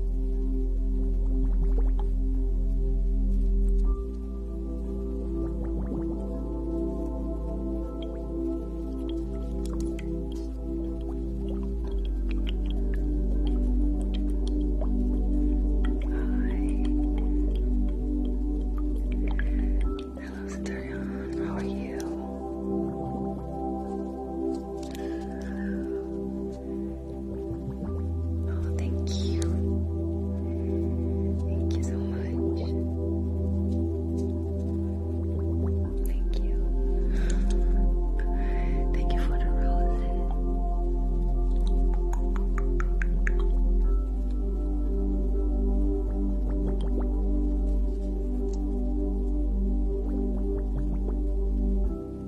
Hello, Starion. How are you? Oh, thank you. Thank you so much. Thank you. Thank you for the roses.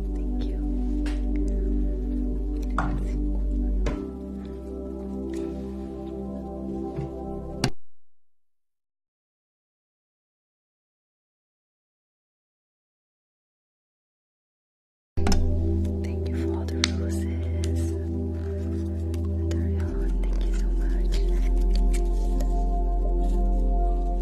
Thank you. Thank you for all the roses. Dario, thank you so much.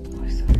Or sorry.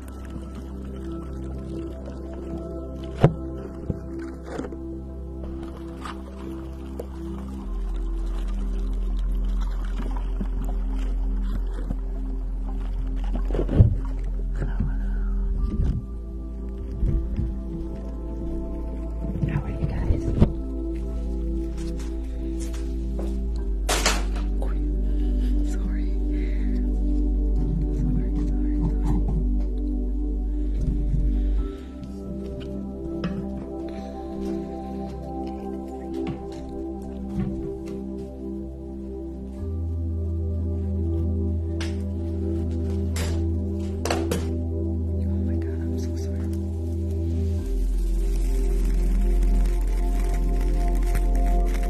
How are you guys? Oh, my god, I'm so sorry. Thank you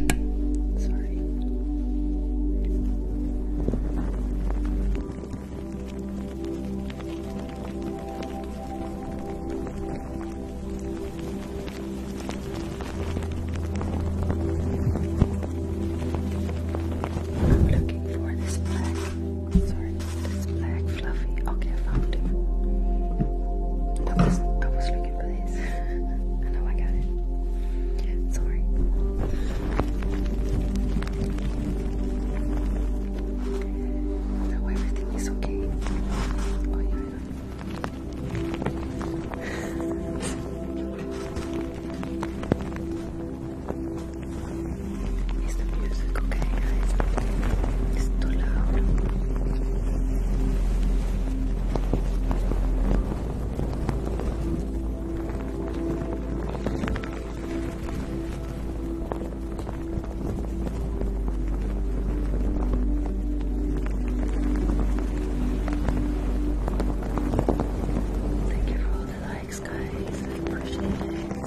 I'm looking for this black, sorry, this black fluffy. Okay, I found it. I was, I was looking you I know I got it. Sorry. No, everything is okay. It's too loud. Thank you for all the likes, guys. appreciate it.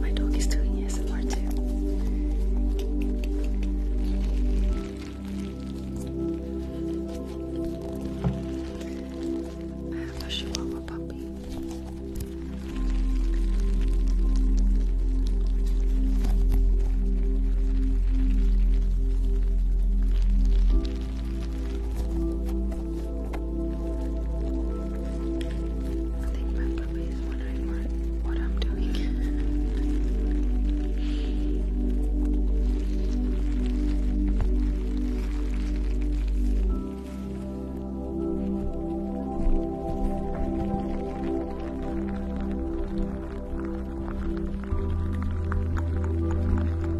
My dog is doing ASMR too. I have a Chihuahua puppy. I think my puppy is wondering what, I'm doing.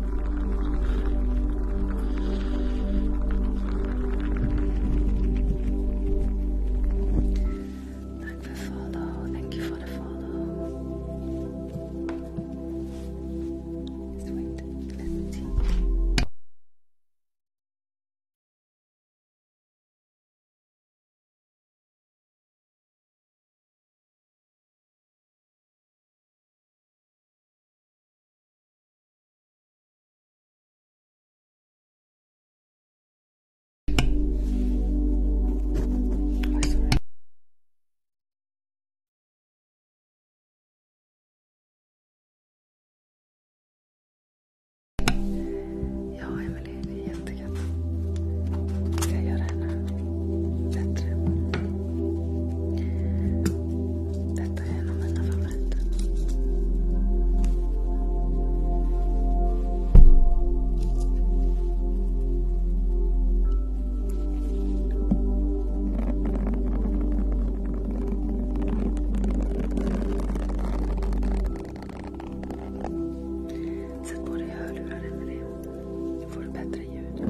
Thank you for the follow. Thank you for the follow. Sweet. Let's see. Ja, Emelie, det är jättegött. Ska jag göra henne bättre? Detta är en av mina favoriter. Sätt på dig hörlurar, Emelie. Då får du bättre ljud.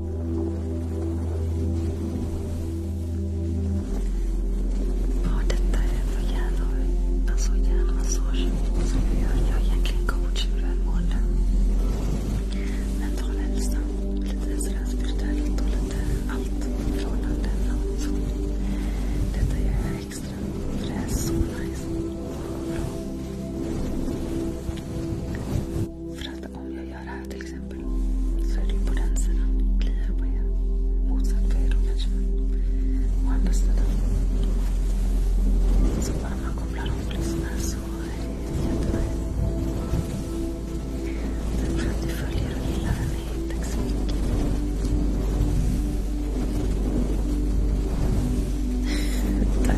Vad detta är för hjärnor. Alltså hjärnmassage som jag gör. Jag är egentligen coach för välmående. Mental hälsa. Lite sådär spirituellt och lite allt. Förhållanden och så. Detta gör jag extra. För det är så nice och bra. För att om jag gör det här till exempel så är det ju på den sidan. Kliar på er. Motsatt på er då kanske. Å andra sidan. Så bara man kopplar av och lyssnar så är det jättenice. Tack för att du följer och gillar den. Tack så mycket. Tack. för Tack.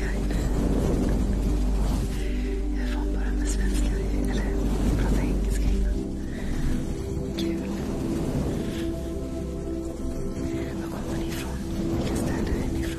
jag. Jag är van med svenska. Eller prata engelska innan. Kul. Var kommer ni ifrån? Vilka städer är ni ifrån?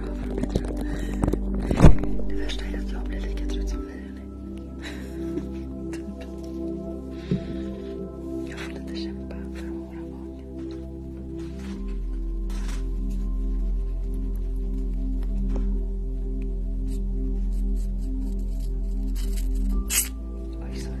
bra för att bli trött. Det värsta är att jag blir lika trött som ni är. Typ. Jag får lite kämpa för att hålla vaken. Oj, sorry.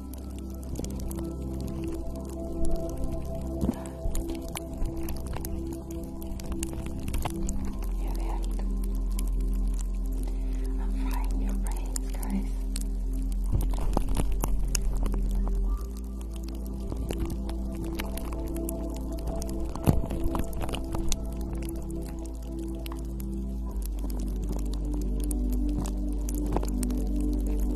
Perfect. I'm frying your brains, guys.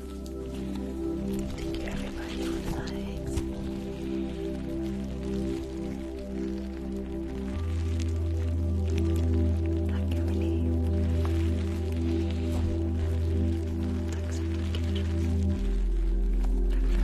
Thank you, everybody, for the Thank you, Millie. Thanks for the gifts. Thanks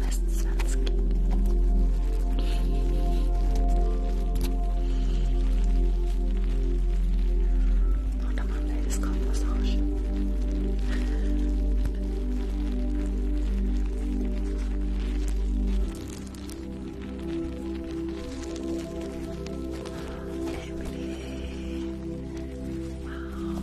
Västsvensk. Snart har man det. ska ha massage. Emily.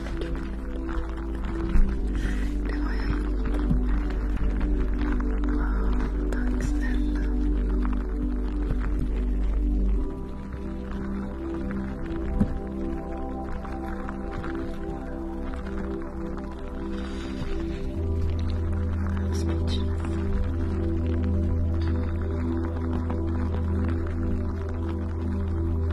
Wow, thanks, Linda. I'm speechless. Thank you.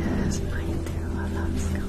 Yes, mine too. I love scalp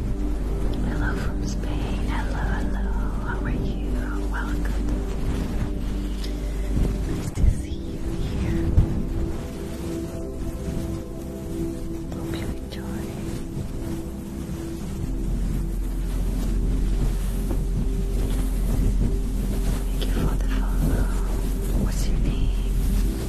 Hello from Spain. Hello, hello. How are you? Welcome. Nice to see you here. Hope you enjoy. Thank you for the follow. What's your name?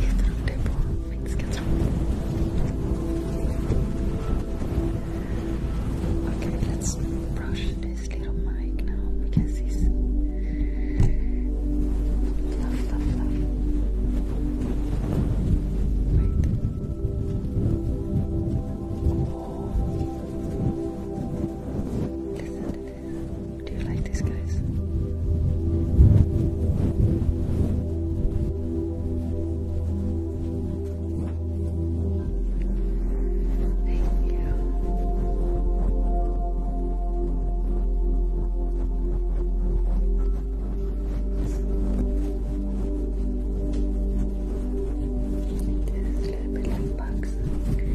Heter de på finska tror Okay, let's brush this little mic now because he's fluff, fluff, fluff. Wait. Do you like these guys? Thank you. This is a little bit like bugs. Like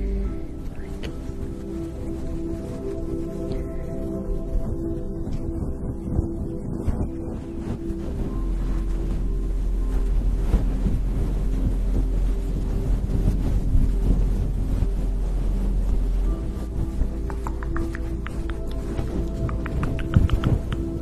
Thank you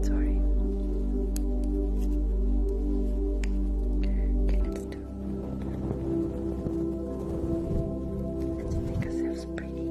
Sorry. Okay, let's do. Let's make ourselves pretty.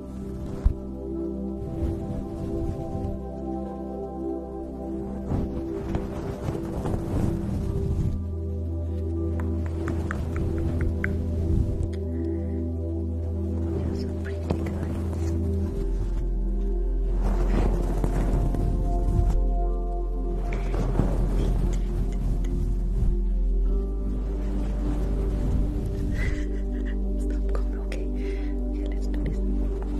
They're so pretty, guys. Stop calling Okay, yeah, let's do this. But then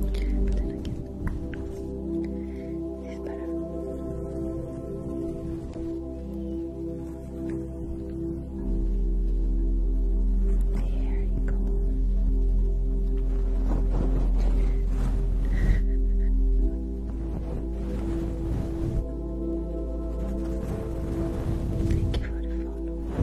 again, it's better. There you go. Thank you for the follow.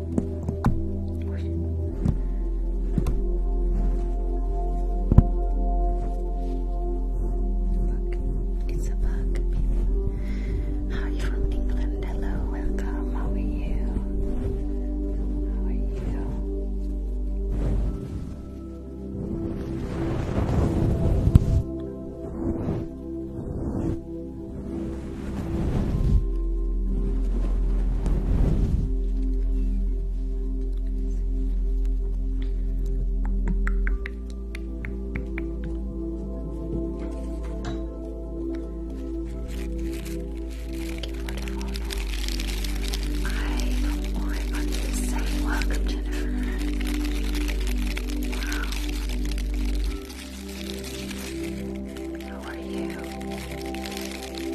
Look, it's a bug, How are you from England? Hello, welcome. How are you? How are you? Oh my God, you're saying welcome, Jennifer. How are you?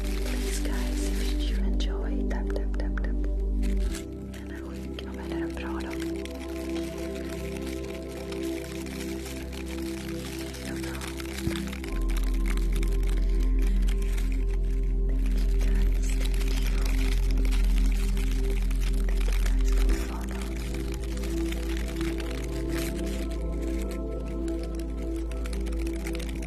Please, guys, if you enjoy, tap, tap, tap, tap. Den är sjuk. Ja, men är den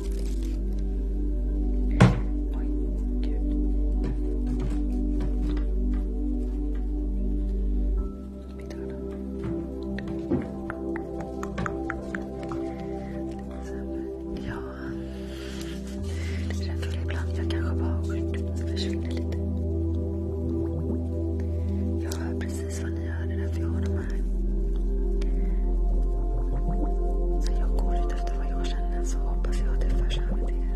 Ja, det är rätt ibland. Jag kanske bara försvinner lite. Jag hör precis vad ni hör. Det är därför jag har dem här. jag går ut att det jag kände så hoppas jag att jag förs över till er.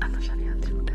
annars hade jag inte gjort det.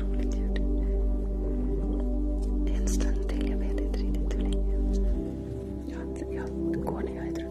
Roligt ljud. Det är en stund till, jag vet inte riktigt hur länge. Jag, jag går när jag är trött.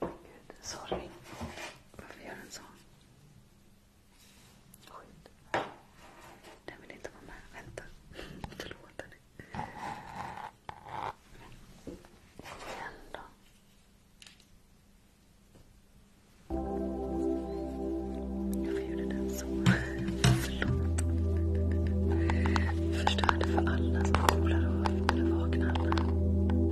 Gud, sorry. Varför gör den så? Skit. Den vill inte vara med. Vänta. Förlåt dig. Kom igen då. Varför gjorde den så? Förlåt. Förstörde för alla som kopplar och vaknar alla.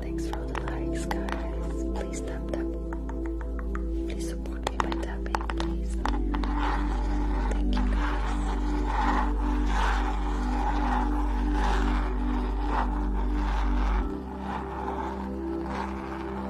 Thanks for all the likes, guys. Please tap tap. Please support me by tapping, please. Thank you,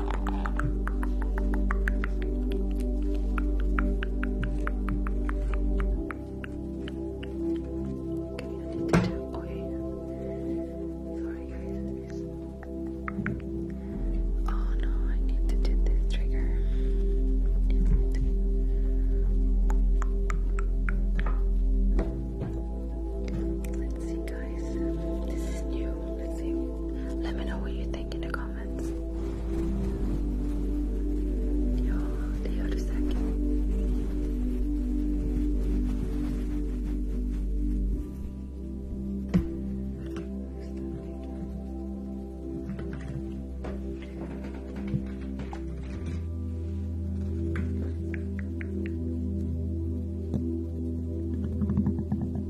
Okay, I need to do oil for Oh no, I need to do this trigger. Let's see, guys. This is new. Let me know what you think in the comments comments. You'll second.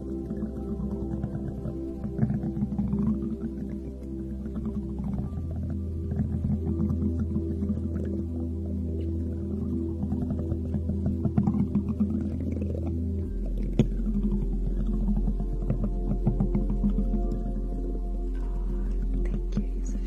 Thank you, Yusuf.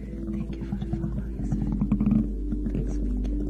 Thank you for the follows. Thanks, Thank you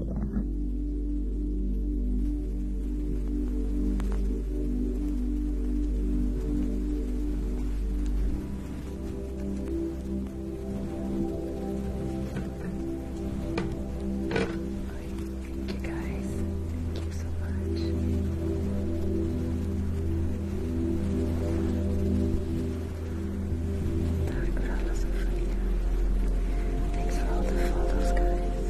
Thank you guys. Thank you so much. Thanks for all the follows,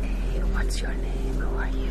Hey, what's your name? Who are you?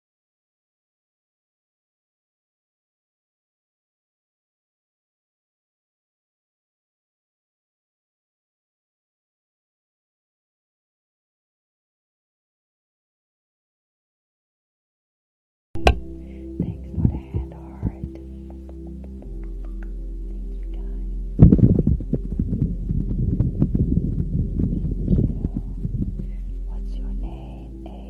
Thanks for the hand heart. Thank you What's your name? A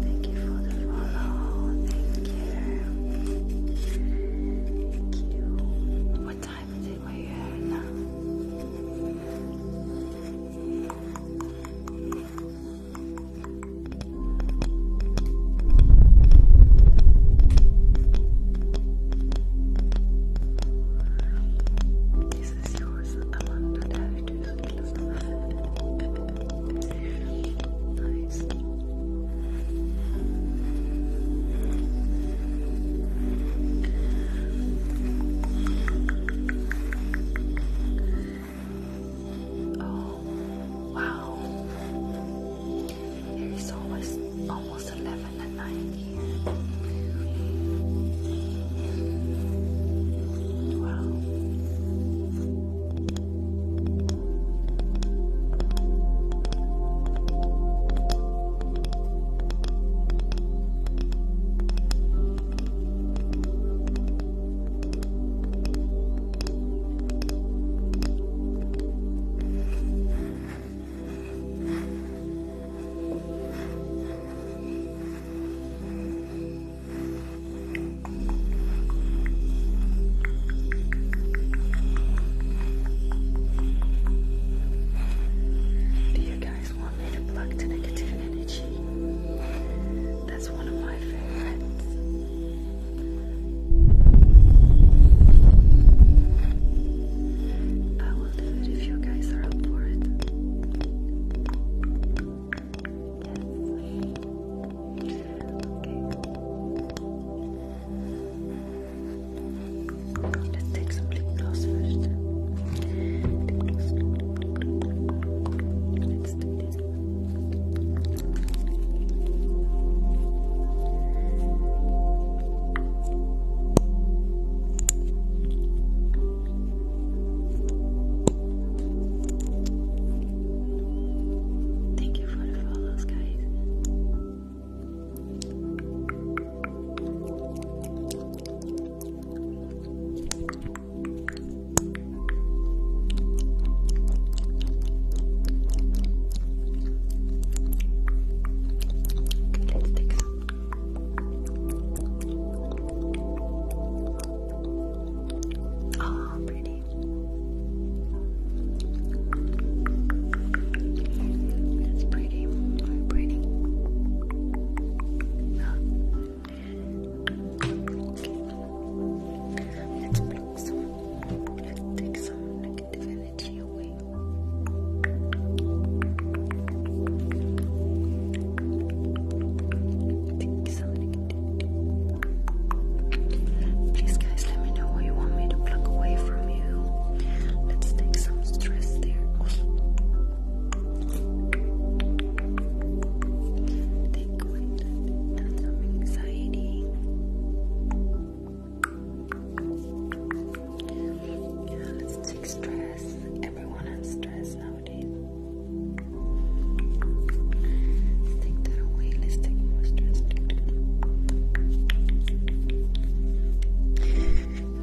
Thank you, for the follow. Thank you. What time is it where now? This is yours, the one that I do Nice. Oh, wow. It is almost, almost 11 at night here. Wow. Do you guys want me to pluck the negative energy? That's one of my favorites. I will do it if you guys are up for it. Let's take some lip gloss first. Thank you for the follows, guys. Okay, let's take some. Oh, pretty. That's pretty. pretty. Let's bring some, energy away. Take some Please, guys, let me know what you want me to pluck away from you. Let's take some stress there liquid and some anxiety. Yeah, let's take stress. Everyone has stress nowadays. Let's take that away. Let's take more stress.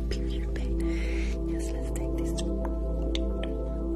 Period pain. Yes, let's take this.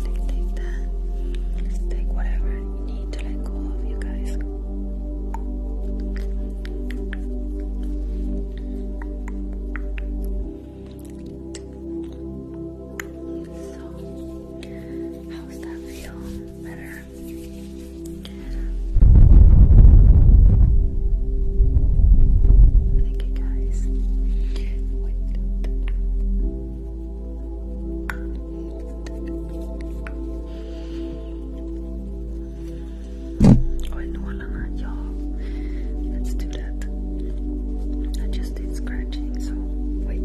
Take, take that. Let's take whatever you need to let go of, you guys. So, how's that feel? Better? Thank you guys. Wait, wala na, y'all. Let's do that. I just did scratching, so wait.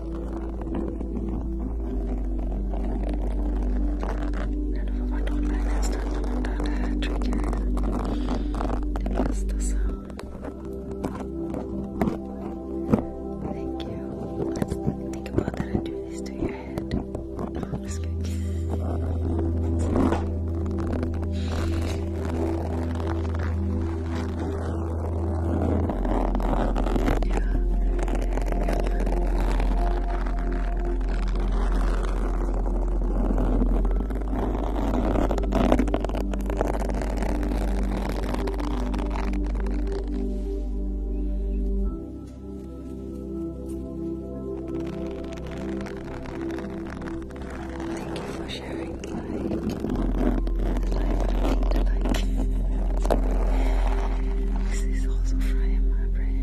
None of our told by this time about a trigger. It was the Thank you. Let's think about that and do this to your head. No, I'm Thank you for sharing. Like, like, like. This is also frying my brain.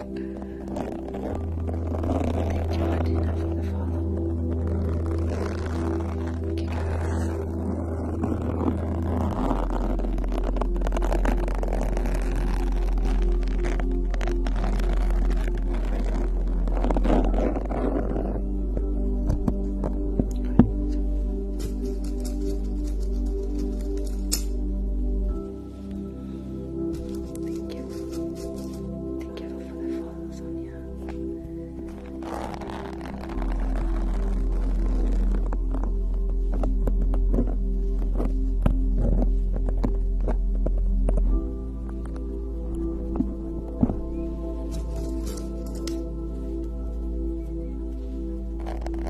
Thank you, Martina, for the follow. you, guys. Thank you. Thank you for the follows, Sonia. Thank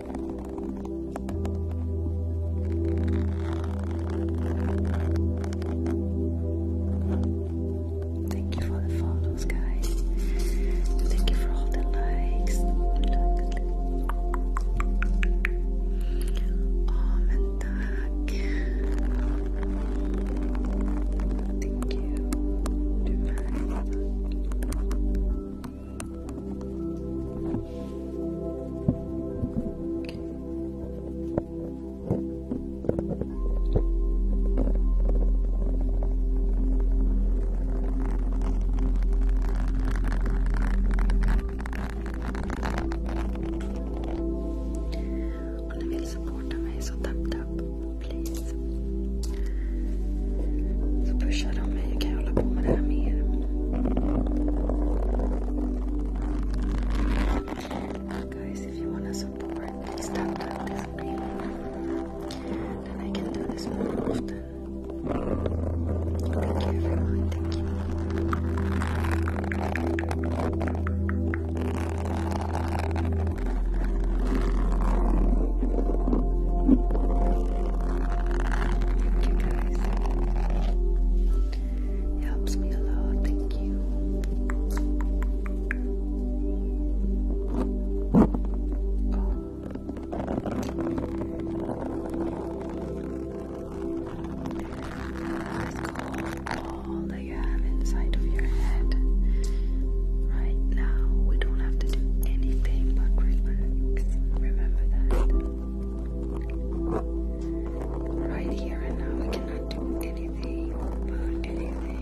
Thank you for the follows, guys. Thank you for all the likes. Oh, and Thank you. Om ni vill supporta mig så tap tap, please. Så pushar de mig. Kan jag hålla på med det här mer? Guys, if you want to support, please tap tap this screen. Then I can do this more often. Thank you everyone, thank you. Thank you guys. helps me a lot. Thank you. Let's go all that you have inside of your head. Right now, we don't have to do anything but relax. Remember that. Right here and now, we cannot do anything about anything.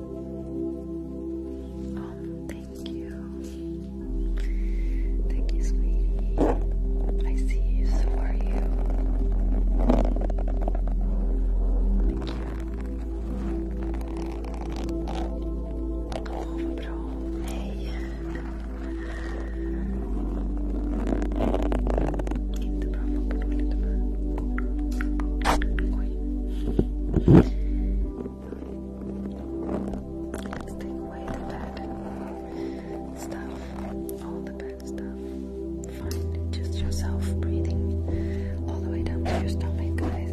thank you. Thank you, sweetie. I see you, so are you. Oh, bro. Hey. Let's take away the bad stuff, all the bad stuff. Find just yourself breathing all the way down to your stomach, guys.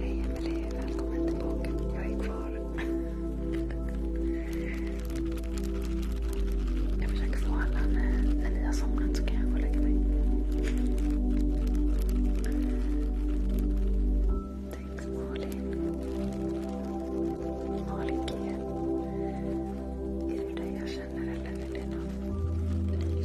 Hej Emelie, välkommen tillbaka. Jag är kvar. Jag försöker få alla när, när ni har somnat så kan jag gå och lägga mig. Thanks Malin. Malin G. Är det dig jag känner eller är det någon ny?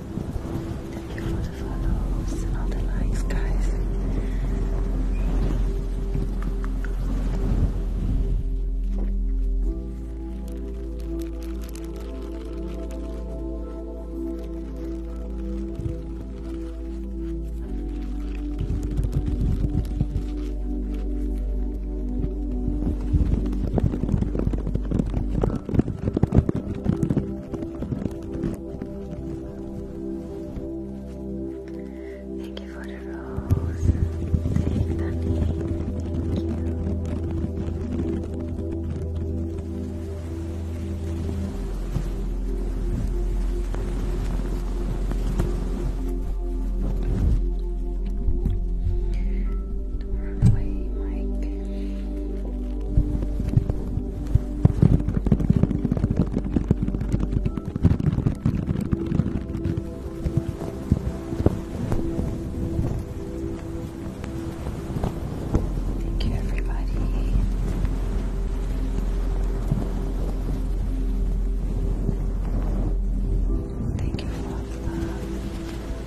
Thank you for the follows and all the likes, guys. Thank you for the rose. Thank you, Thank you, everybody. Thank you for the love.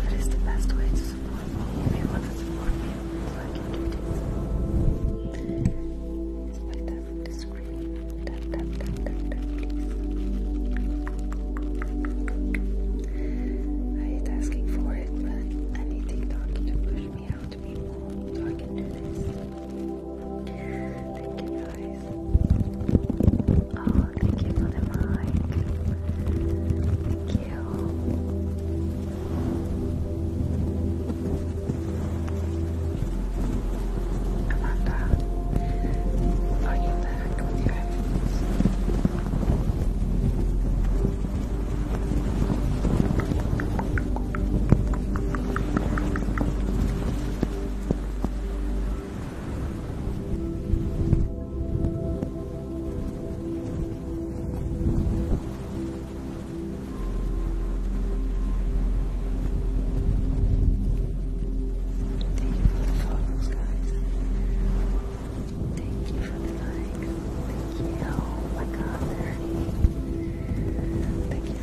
What is the best way to support me? If you want to support me, I can do this. It's like that from the screen. Tap, tap, tap, tap, tap, please. I hate asking for it, but anything talking to push me out. Thank you guys. Oh, thank you for the mic. Thank you. Amanda, are you back with Thank you for the like. Thank you. Oh my god, Thank you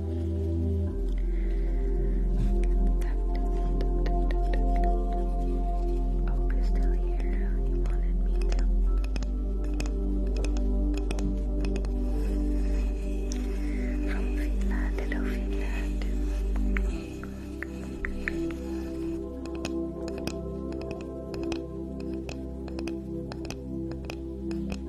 Hope you still here. You wanted me to. From Finland, hello Finland. Hello,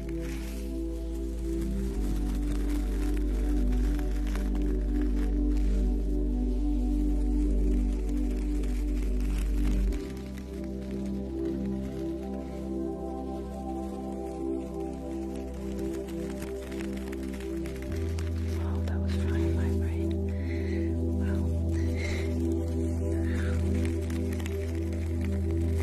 Oh, that was fine, my brain. Wow.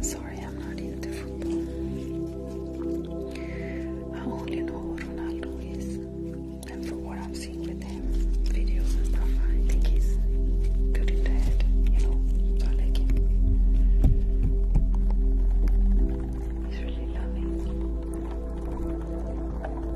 Sorry, I'm not into football. I only know Ronaldo I've seen with him, videos and stuff, I think he's good in the head, you know. I like him. He's really loving.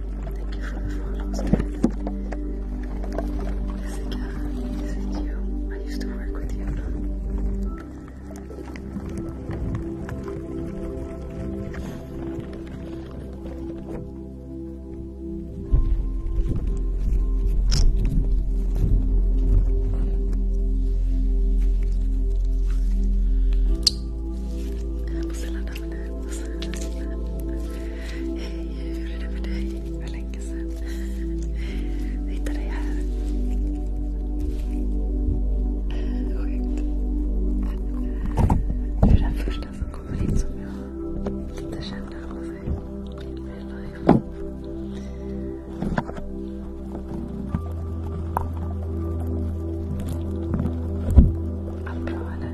Thank you for the follows, guys. Jessica, is it you? I used to work with you, Hej, hur är det med dig? För länge sedan. Jag hittade dig här. Sjukt. Det är den första som kommer hit som jag inte känner på sig. Allt bra eller?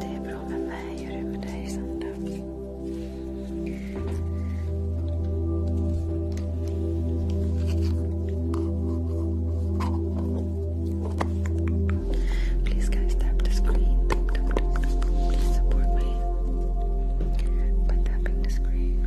Det är bra med Please guys tap the screen. Please support me by tapping the screen.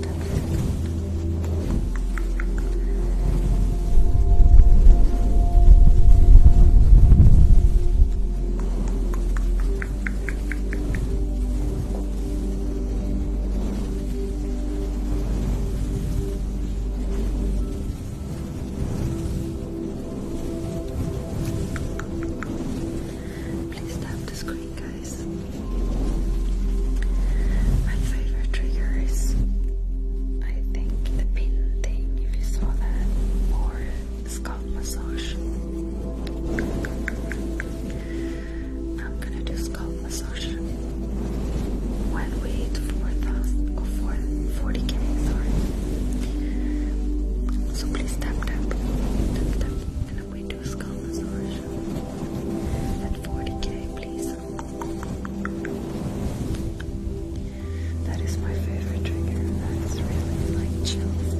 Please tap the screen, guys. My favorite trigger is I think the pin thing, you saw that, or scalp massage. I'm gonna do scalp massage when we hit 4,000 or 40k, sorry. So please tap, tap, tap, tap, and we do scalp massage at 40k, please. That is my favorite trigger. That is really like chills.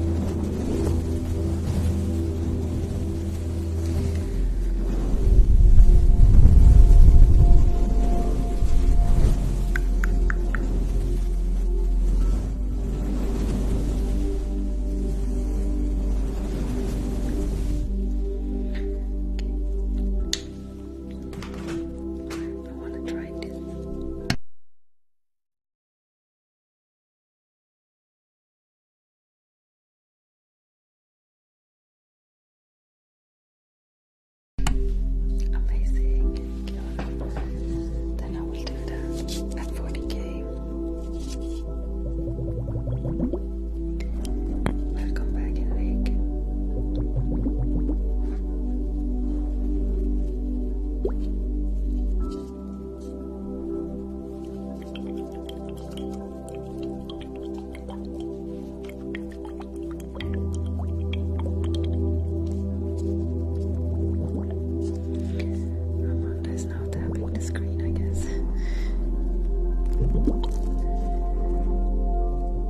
I want to try it. Amazing. Then I will do that at Welcome back, Enrique. Amanda is now tapping the screen, I guess. Thank you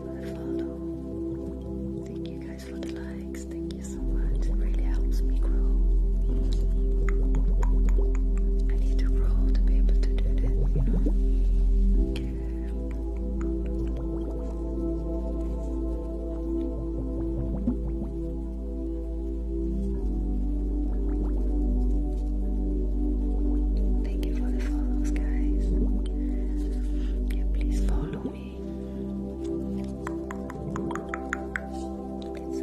for the follow. Thank you guys for the likes. Thank you so much. It really helps me grow. I need to roll to be able to do this, you know. Thank you for the follows, guys. Yeah, please follow me. Please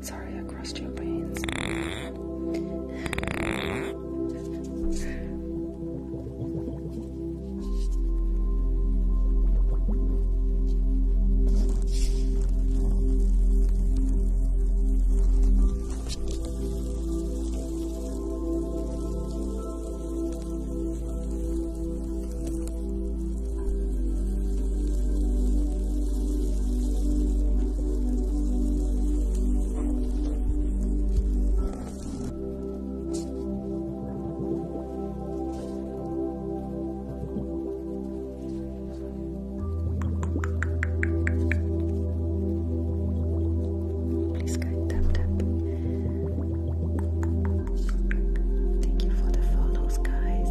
Sorry, I crossed your brains. Please go tap tap. Thank you for the follows, guys.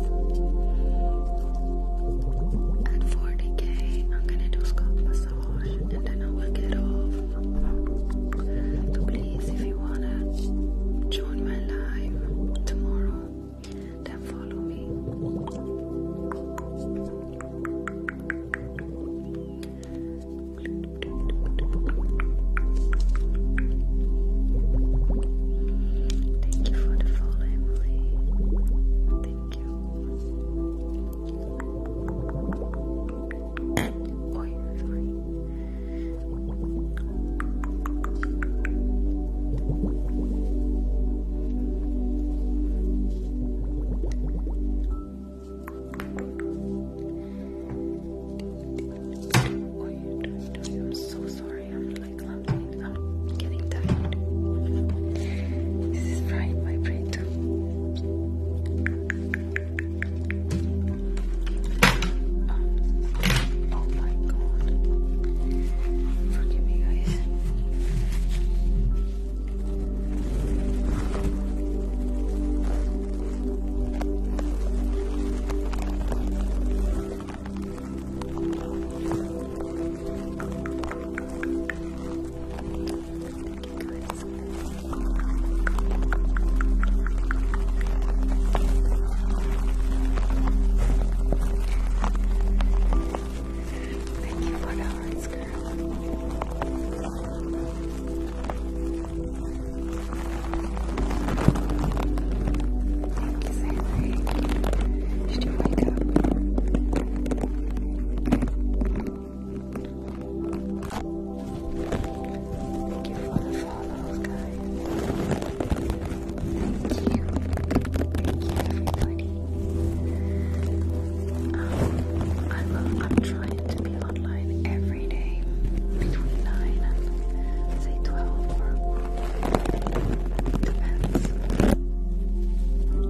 At 40k, I'm gonna do scalp massage and then I will get off. So please, if you wanna join my live tomorrow, then follow me. Thank you for the follow, Emily. Thank you. oh, yeah, I'm so sorry. Oh, I'm getting tired. This is frying my brain too. Oh, oh my god. Forgive me, guys. Thank you for the hearts, girl. Thank you, Sally. She's doing my cup. Thank you for the follows, guys. Thank you. Thank you, everybody. I'm trying to be online every day between 9 and, say, 12 or depends.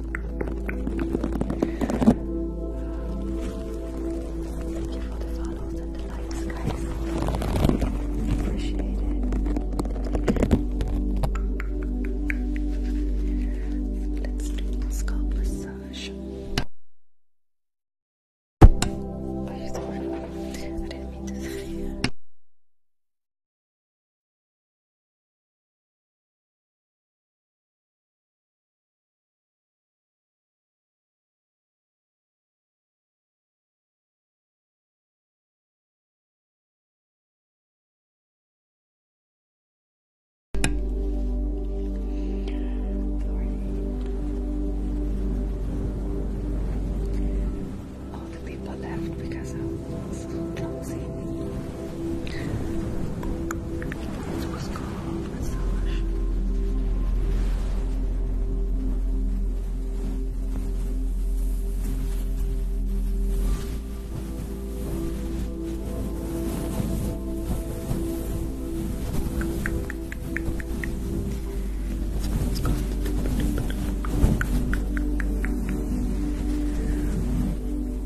Thank you for the follows and the light skies, Appreciate it. Let's do the scalp massage. I didn't mean to. All the people left because of it's Chelsea. This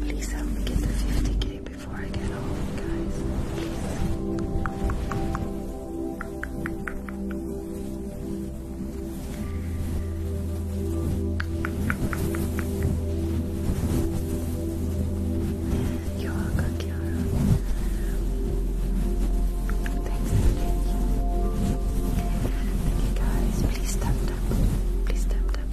Please help um, me get the 50k before I get home, guys. You're welcome, Kiara. Thanks Thank you guys. Please tap tap. Please tap tap.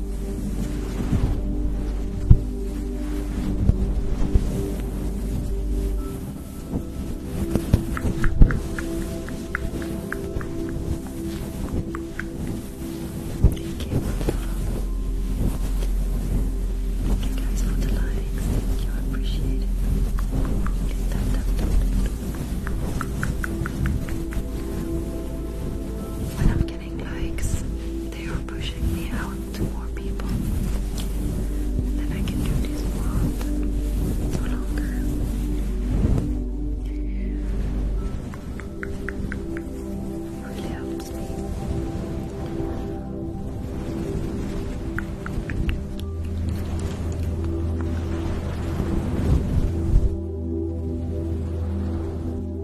Thank you guys for the likes. Thank you, I appreciate it. Tap, tap, tap, tap. When I'm getting likes, they are pushing me out to more people. Then I can do this more often, longer. Really me.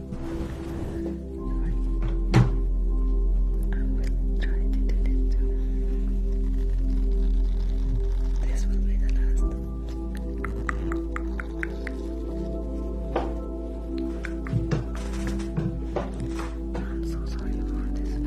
I will try to do this This will be the last I'm so sorry for this voice.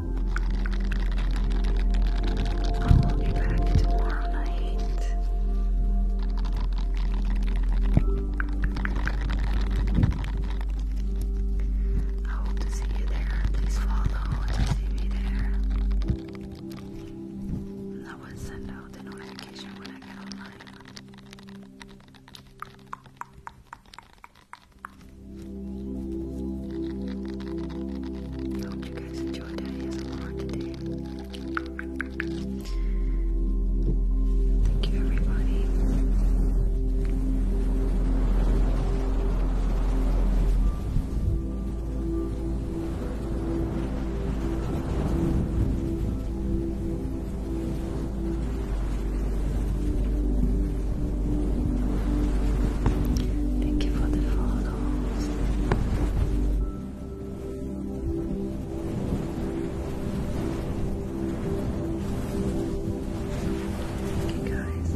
I will be back tomorrow night. I hope to see you there. Please follow to see me there. I will send out the notification when I get online. I hope you guys enjoyed it. It's a lot today. Thank you, everybody. Thank you for the follows. Thank you guys.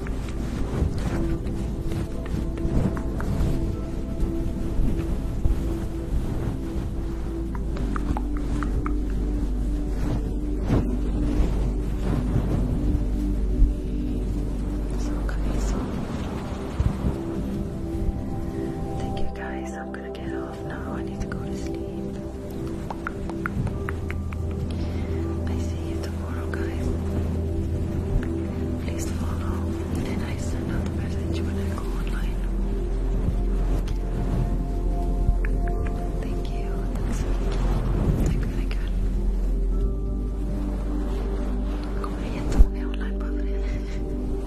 So, guys, thank you guys. I'm gonna get off now. I need to go to sleep. I see you tomorrow, guys. Please follow, and I send out the message when I go online. Thank you. thank you, thank you. Det kommer jättemånga online bara för det. Oh.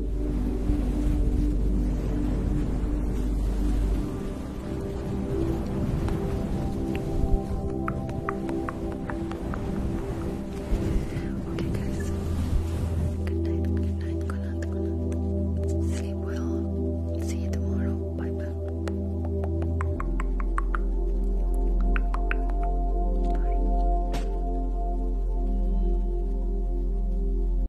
Okay, guys. Good night, good night, good night, good night. Sleep well. See you tomorrow. Bye bye.